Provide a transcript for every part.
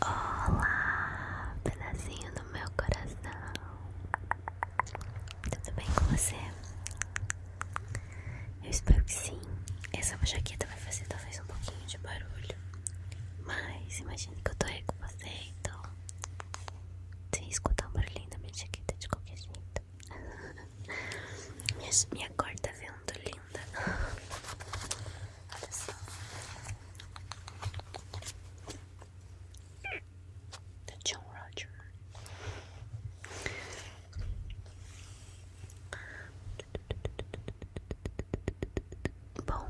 Olá, pedacinho do meu coração. Tudo bem com você? Eu espero que sim. Essa jaqueta vai fazer talvez um pouquinho de barulho, mas imagine que eu tô aí com você, então sem escutar um barulhinho da minha jaqueta de qualquer jeito. minha, minha cor tá vendo linda. Olha Roger. Bom,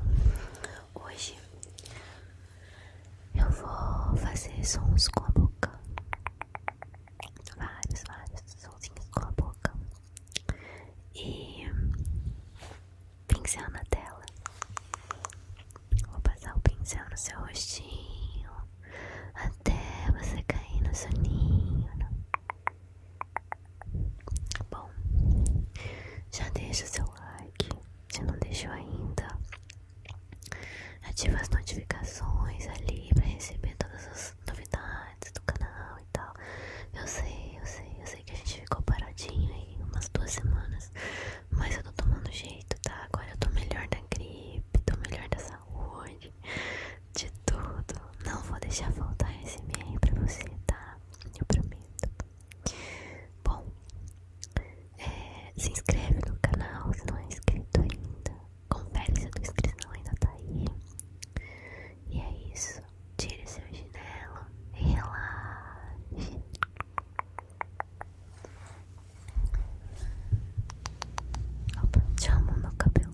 hoje eu vou fazer sons com a boca. Vários, vários sons com a boca e pincel na tela. Vou passar o pincel no seu rostinho até você cair no soninho. bom, já deixa o seu like se não deixou ainda. Ativa as notificações ali para receber todas as novidades do canal e tal. Eu sei, eu sei, eu sei que a gente ficou paradinho aí umas duas semanas, mas eu tô tomando jeito, tá? Agora eu tô melhor da gripe, tô melhor da saúde, de tudo. Não vou deixar faltar esse e-mail pra você, tá? Eu prometo. Bom, é, se inscreve no canal se não é inscrito ainda. Confere se a tua inscrição ainda tá aí. E é isso. tira seu chinelo relaxa relaxe. Opa, tinha no cabelo.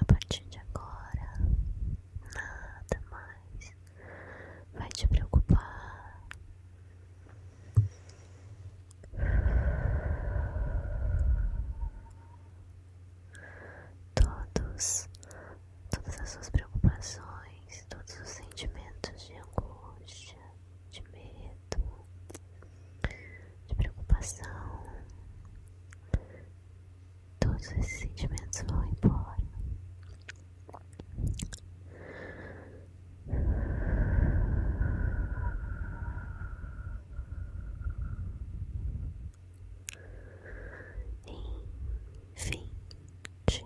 A partir de agora, nada mais vai te preocupar. Todos, todas as suas preocupações, todos os sentimentos de angústia, de medo, de preocupação, Todos esses sentimentos vão embora. Enfim, te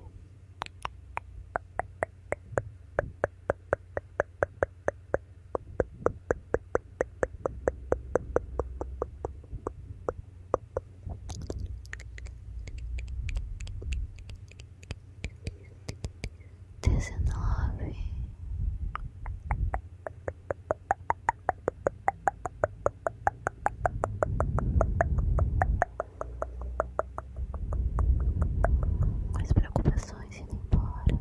dezenove, as preocupações indo embora.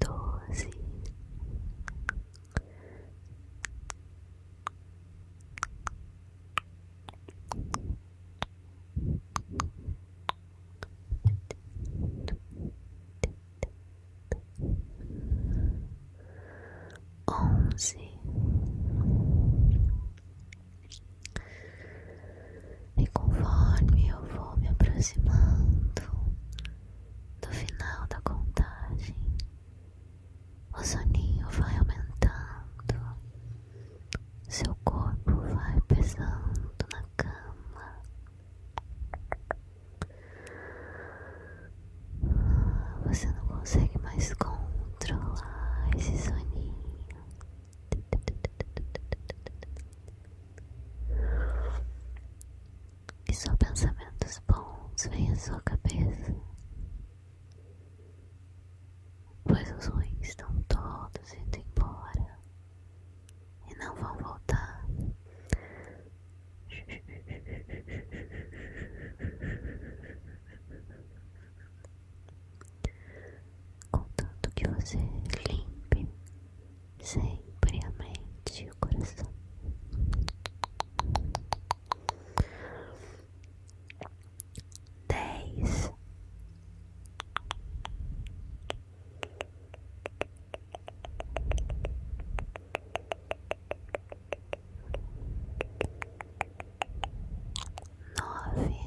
doze, onze. E conforme eu vou me aproximando do final da contagem, o soninho vai aumentando, seu corpo vai pesando na cama. Ah, você não consegue mais controlar esse soninho. E só pensamentos bons vêm à sua cabeça, pois os ruins estão todos indo embora e não vão voltar. Contanto que você limpe sempre a mente e o coração. Dez nove, oito.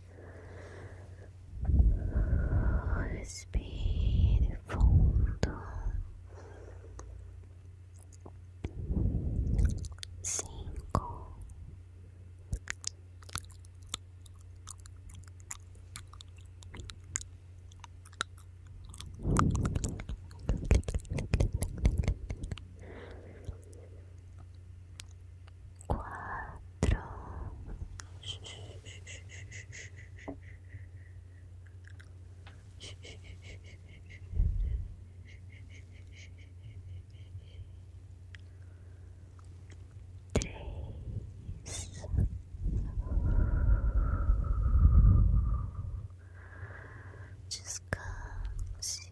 Respire fundo, cinco, quatro, três. Descanse.